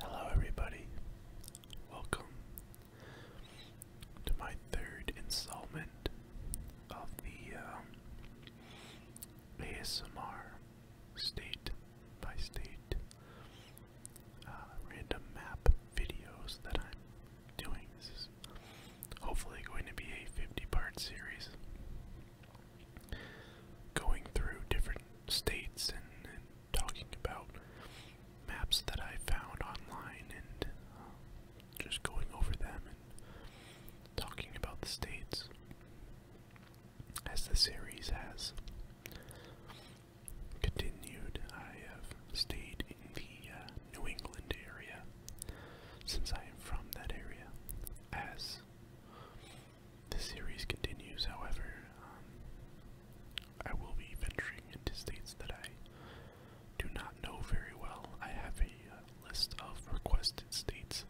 Hello, everybody. Welcome to my third installment of the um, ASMR state by state uh, random map videos that I'm doing. This is hopefully going to be a 50 part series going through different states and, talking about maps that I found online and um, just going over them and talking about the states as the series has continued. I have stayed in the uh, New England area since I am from that area as the series continues, however. Um, I will be venturing into states that I do not know very well. I have a uh, list of requested states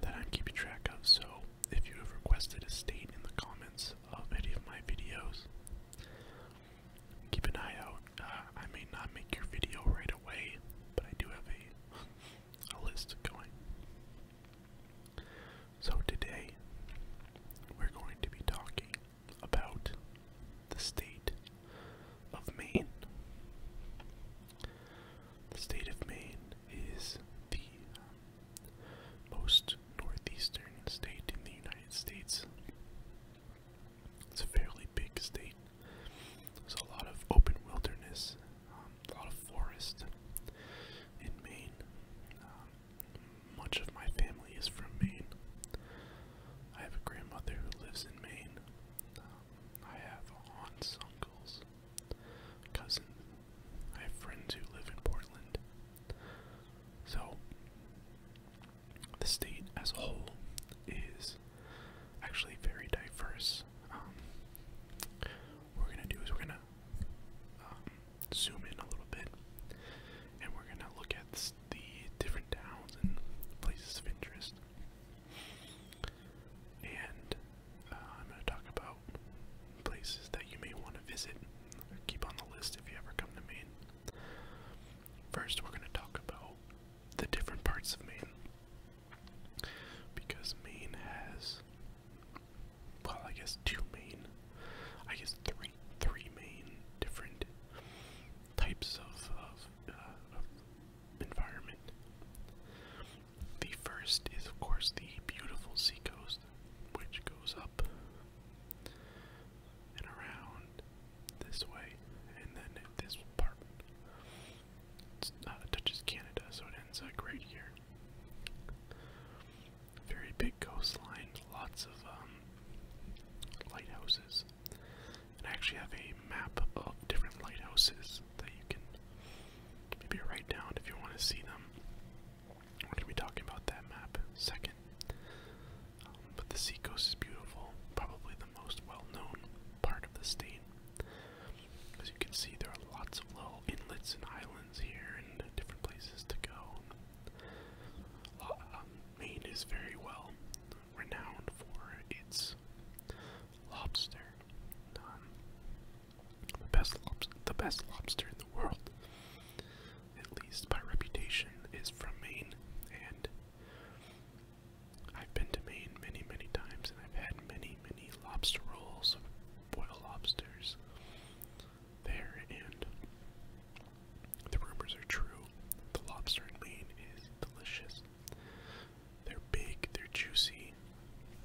that I'm keeping track of, so if you have requested a state in the comments of any of my videos, keep an eye out. Uh, I may not make your video right away, but I do have a a list going. So today we're going to be talking about the state of Maine. The state of Maine is the most northeastern state in the United States. It's a fairly big state. So a lot of open wilderness, um, a lot of forest in Maine. Um, much of my family is from Maine. I have a grandmother who lives in Maine. Um, I have aunts, uncles, cousins. I have friends who live in Portland. So, the state as a whole is actually very diverse. Um, we're gonna do is we're gonna um, zoom in a little bit, and we're gonna look at the different towns and places of interest. And uh, I'm gonna talk about places that you may want to visit keep on the list if you ever come to Maine. First, we're gonna talk about the different parts of Maine. Because Maine has, well, I guess two main, I guess three, three main different types uh, of environment. The first is, of course, the beautiful seacoast, which goes up and around this way, and then this part it's, uh, touches Canada, so it ends like right here. Very big coastline, lots of um, lighthouses. I actually have a map of different lighthouses that you can maybe write down if you want to see them. We're going to be talking about that map second. Um, but the seacoast is beautiful, probably the most well known part of the state. As you can see, there are lots of little inlets and islands here and different places to go. Uh, um, Maine is very well renowned for its lobster. Um, the best lobster, in the world, at least by reputation, is from Maine, and I've been to Maine many, many times, and I've had many, many lobster rolls of boiled lobsters there, and the rumors are true. The lobster in Maine is delicious. They're big, they're juicy,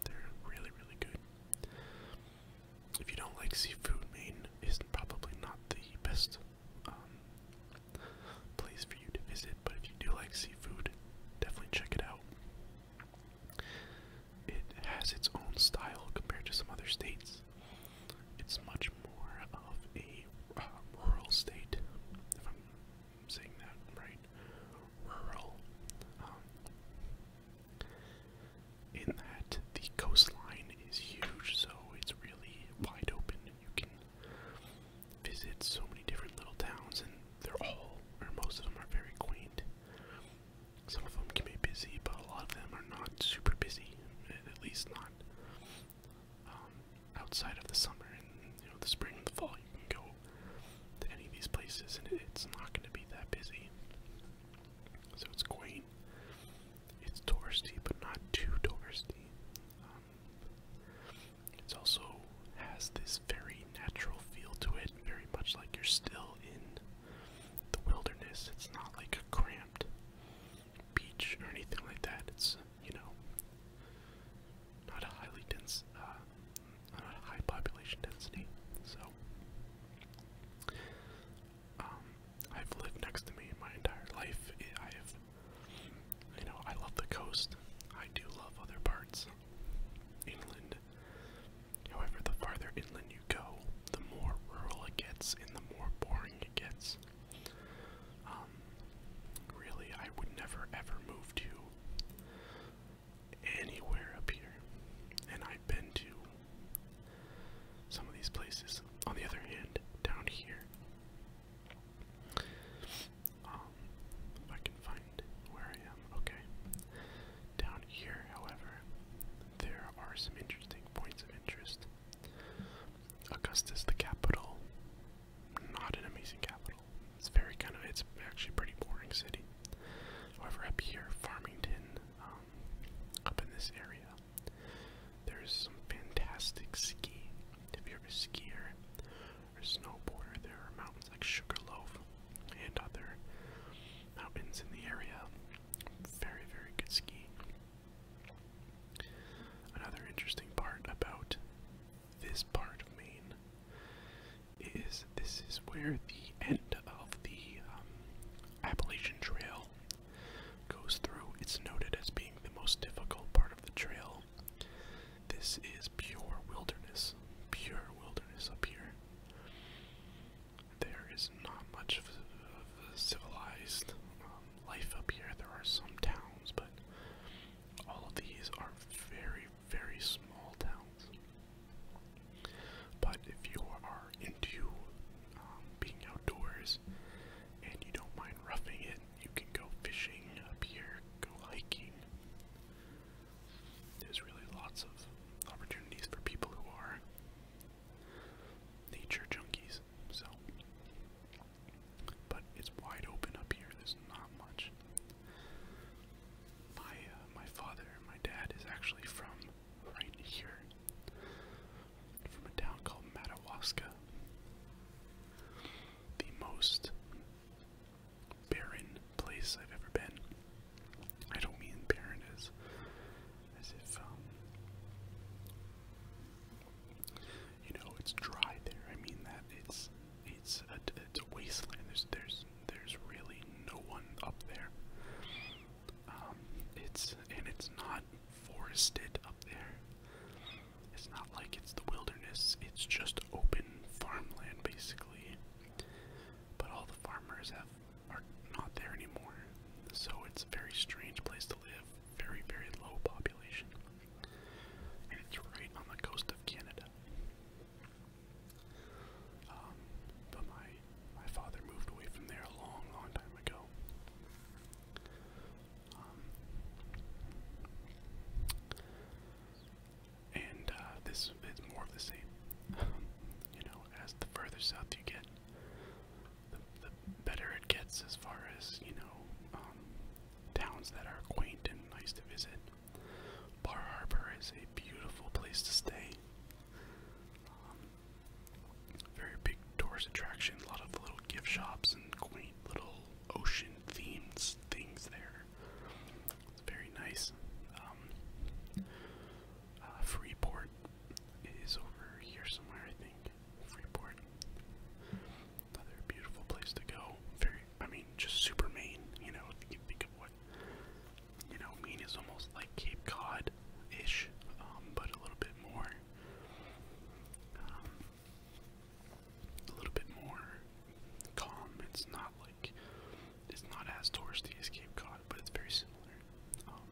they're really, really good. If you don't like seafood, Maine is probably not the best um, place for you to visit. But if you do like seafood, definitely check it out. It has its own style compared to some other states. It's much more of a uh, rural state, if I'm saying that right. Rural. Um, in that the coastline is huge, so it's really wide open you can visit so many different little towns, and they're all, or most of them, are very quaint. Some of them can be busy, but a lot of them are not super busy, at least not um, outside of the summer and you know the spring and the fall. You can go to any of these places, and it's not going to be that busy. So it's quaint. It's touristy, but not too touristy. Um, it also has this very natural feel to it, very much like you're still in the wilderness. It's not like a cramped beach or anything like that. It's, you know, not a highly dense, uh, not a high population density. So, um, I've lived next to me my entire life. I have you know, I love the coast. I do love other parts. Inland. However, the farther inland you go, the more rural it gets and the more boring it gets. Um, really, I would never ever move to anywhere up here. And I've been to some of these places. On the other hand, down here, if um, I can find where I am, okay. Down here, however, there are some interesting points of interest. Augustus, the capital, not an amazing capital. It's very kind of, it's actually pretty boring city. However, up here, Farmington, um, up in this area, there's some fantastic ski. If you're a skier or snowboarder, there are mountains like Sugarloaf and other mountains in the area. Very, very good skiing. Another interesting part about this part of Maine is this is where the end of the um, Appalachian Trail goes through. It's noted as being the most difficult part of the trail. This is pure wilderness, pure wilderness up here. There is not much of a civilized um, life up here. There are some towns, but all of these are very, very small towns. But if you are into um, being outdoors and you don't mind roughing it, you can go fishing up here, go hiking. There's really lots of opportunities for people who are nature junkies, so. But it's wide open up here, there's not much. My, uh, my father, my dad is actually from right here from a town called Madawaska. The most barren place I've ever been. I don't mean barren as, as if, um, you know, it's dry there. I mean that it's it's a, it's a wasteland. There's there's there's really no one up there. Um, it's and it's not forested up there. It's not like it's the wilderness, it's just open farmland basically. But all the farmers have are not there anymore. So it's a very strange place to live, very, very low population. And it's right on the coast of Canada. Um, but my my father moved away from there a long, long time ago. Um, and uh, this is more of the same. you know, as the further south you get, the, better it gets as far as, you know, um, towns that are quaint and nice to visit. Bar Harbor is a beautiful place to stay. Um, very big tourist attraction, a lot of little gift shops and quaint little ocean themes things there. It's very nice. Um, uh, Freeport is over here somewhere, I think. Freeport. Another beautiful place to go. Very, I mean, just super Maine, you know, if you think of what, you know, Maine is almost like Cape Cod ish, um, but a little bit more um, a little bit more calm. It's not like it's not as touristy as Cape Cod, but it's very similar. Um,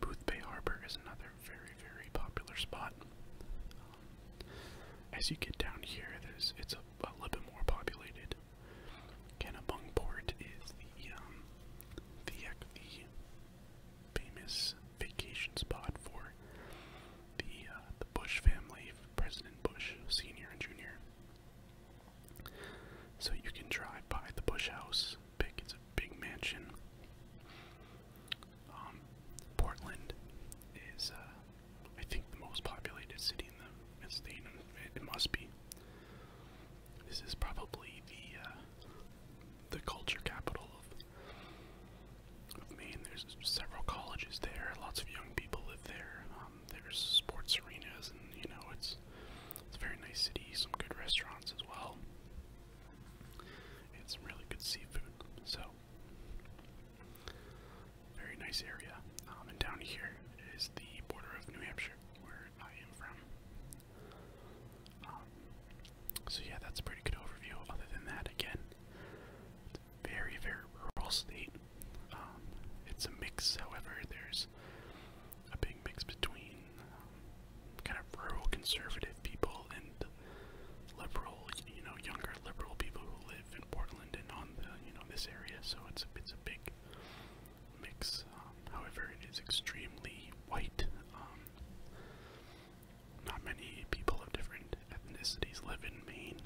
Booth Bay Harbor is another very, very popular spot. Um, as you get down here, there's it's a, a little bit more populated. Kennebung is the um, the the famous vacation spot for the uh, the Bush family, President Bush Senior and Junior. So you can drive by the Bush House. Big, it's a big mansion. Um, Portland is, uh, I think, the most populated city in the, in the state. It, must be. This is probably the uh, the culture capital of, of Maine. There's several colleges there. Lots of young people live there. Um, there's sports arenas, and you know it's it's a very nice city. Some good restaurants as well. And some really good seafood. So very nice area. Um, and down here is the border of New Hampshire, where I am from. Um, so yeah, that's a pretty good overview. Other than that, again, very very rural state. Um, it's a mix, however, there's a big mix between um, kind of rural conservative people and liberal, you know, younger liberal people who live in Portland and on the you know this area. So it's it's a big mix. Um, however, it is extremely white. Um, not many people of different ethnicities live in Maine.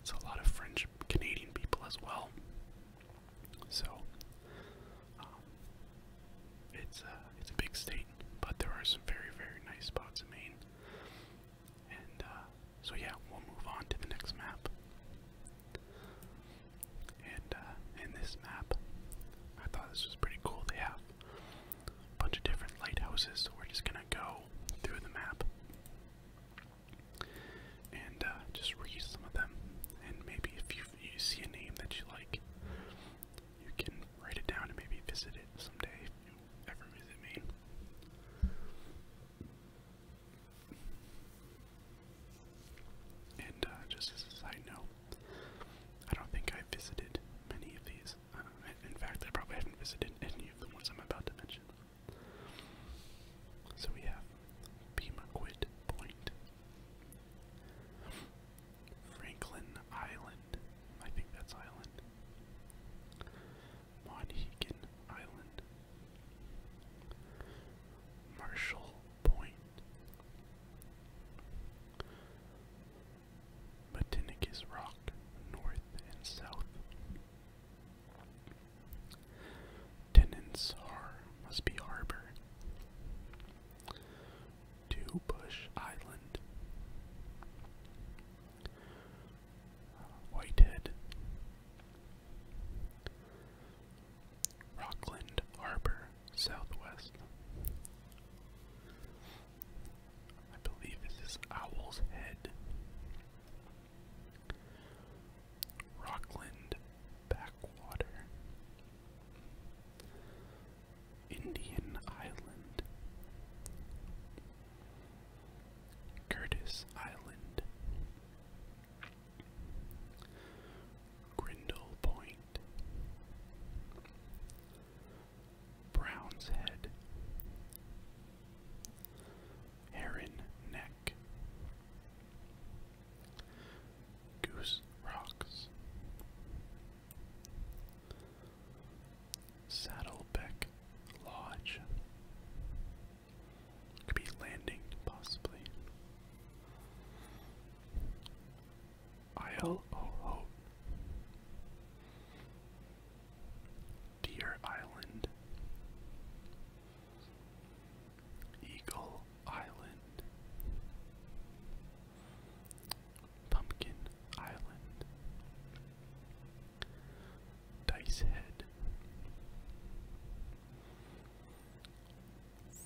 It's a lot of French Canadian people as well. So um, it's a uh, it's a big state, but there are some very very nice spots in Maine. And uh, so yeah, we'll move on to the next map. And uh, in this map, I thought this was pretty cool. They have a bunch of different lighthouses, so we're just gonna go through the map and uh, just read some of them. And maybe if you you see a name that you like, you can write it down and maybe visit it someday if you ever visit Maine. And uh, just as a side I don't think I've visited many of these. Uh, in fact, I probably haven't visited any of the ones I'm about to mention. So we have Pemaquid Point, Franklin Island, I think that's island, Monhegan Island, Marshall Point, Matinicus Rock, north and south. Tenants are must be harbor. Two Island, Whitehead, Rockland Harbor, Southwest. I believe this is Owl's Head. Rockland Backwater. Indian Island. Curtis Island. Grindle Point, Brown's Head, Heron Neck, Goose Rocks, Saddleback Lodge. Could be landing, possibly. Isle Deer Island. Eagle Island. Pumpkin Island. Dice Head,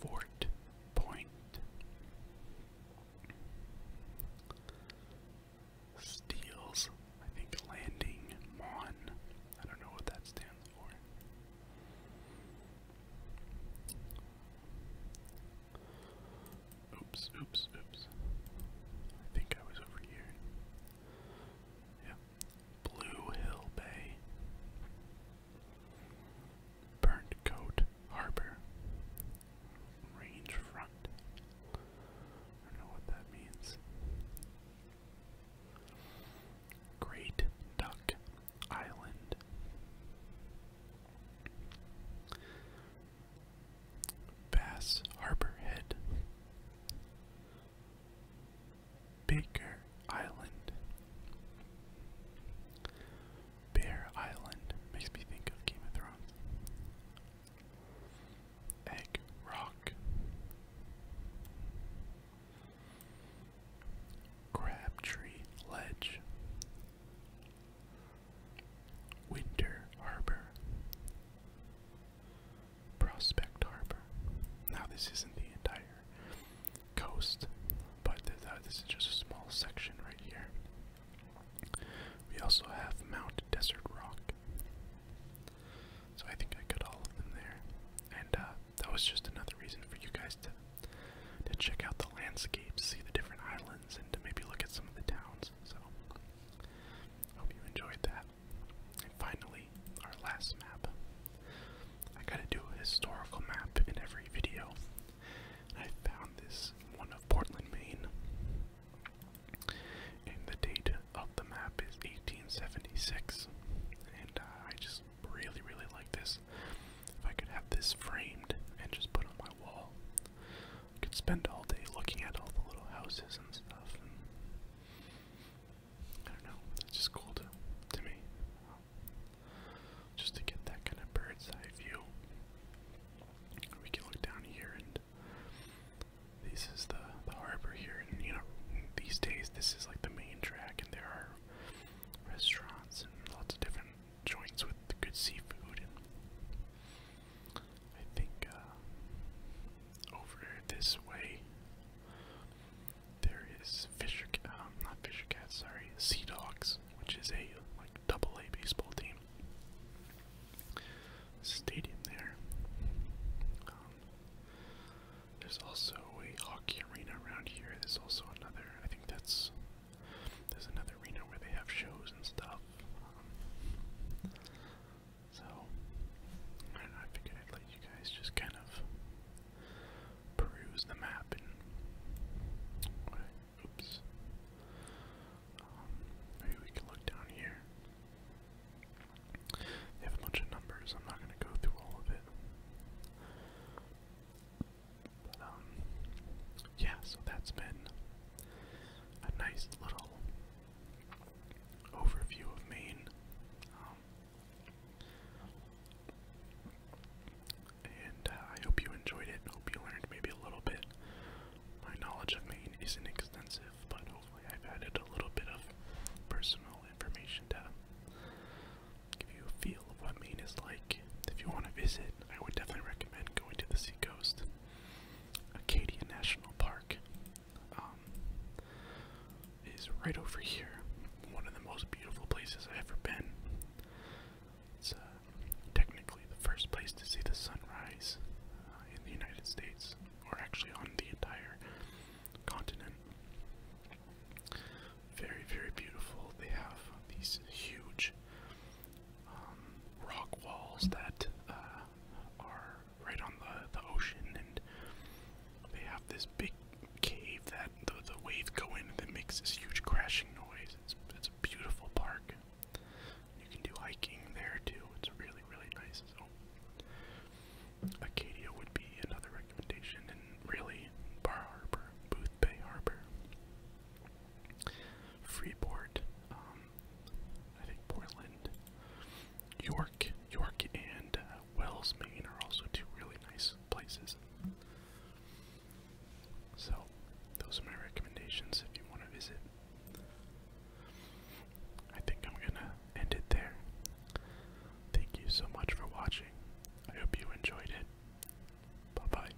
Fort Point, Steels, I think Landing Mon. I don't know what that stands for. Oops, oops, oops. I think I was over here. Yep, Blue Hill Bay, Burnt Coat Harbor, Range Front. I don't know what that means. Great Duck Island. Bass Harbor Head, Baker Island. Bear Island makes me think of Game of Thrones. Egg Rock. Crabtree Ledge. Winter Harbor. Prospect Harbor. Now, this isn't the entire coast, but this is just a small section right here. We also have Mount Desert Rock. So I think I got all of them there. And uh, that was just another reason for you guys to to check out the landscapes, see the different islands, and to maybe look at some of the towns. So hope you enjoyed that. And finally, our last map. I gotta do a historical map in every video. And I found this one of Portland, Maine. And the date of the map is 1876. And uh, I just really, really like this. If I could have this framed and just put on my wall, I could spend all day looking at all the little houses and stuff. I don't know, it's just cool to, to me. Just to get that kind of bird's eye view. We can look down here and this is the, the harbor here and you know these days this is like the main track and there are restaurants and lots of different joints with good seafood and I think uh, over this way there is Fisher, um, not Fisher Cats, sorry, Sea Dogs, which is a like double A baseball team. Stadium there. Um, there's also a hockey arena around here. There's also another. I think that's there's another arena where they have shows and stuff. Um, so, I figured I'd let you guys just kind of peruse the map oops. Um, maybe we can look down here. They have a bunch of numbers, I'm not gonna go through all of it. But, um, yeah, so that's been a nice little overview of Maine. Um, and uh, I hope you enjoyed it. Hope you learned maybe a little bit. My knowledge of Maine isn't extensive, but hopefully I've added a little bit of personal information to give you a feel of what Maine is like. If you want to visit, I would definitely recommend going to the seacoast. Acadia National Park um, is right over here. One of the most beautiful places I've ever been. It's uh, technically the first place to see the sunrise uh, in the United States, or actually on the entire continent. Very, very beautiful. They have these huge um, rock walls that uh, are right on the, the ocean, and they have this big cave that the, the waves go in and it makes this huge crashing noise. It's, it's a beautiful park. You can do hiking there too. It's really, really nice. So, Acadia would be another recommendation, and really, Bar Harbor, Booth Bay Harbor, Freeport. Um, I think Portland, York, York, and uh, Wells, Maine are also two really nice places. So, those are my recommendations if you want to visit. I think I'm gonna end it there. Thank you so much for watching. I hope you enjoyed it. Bye bye.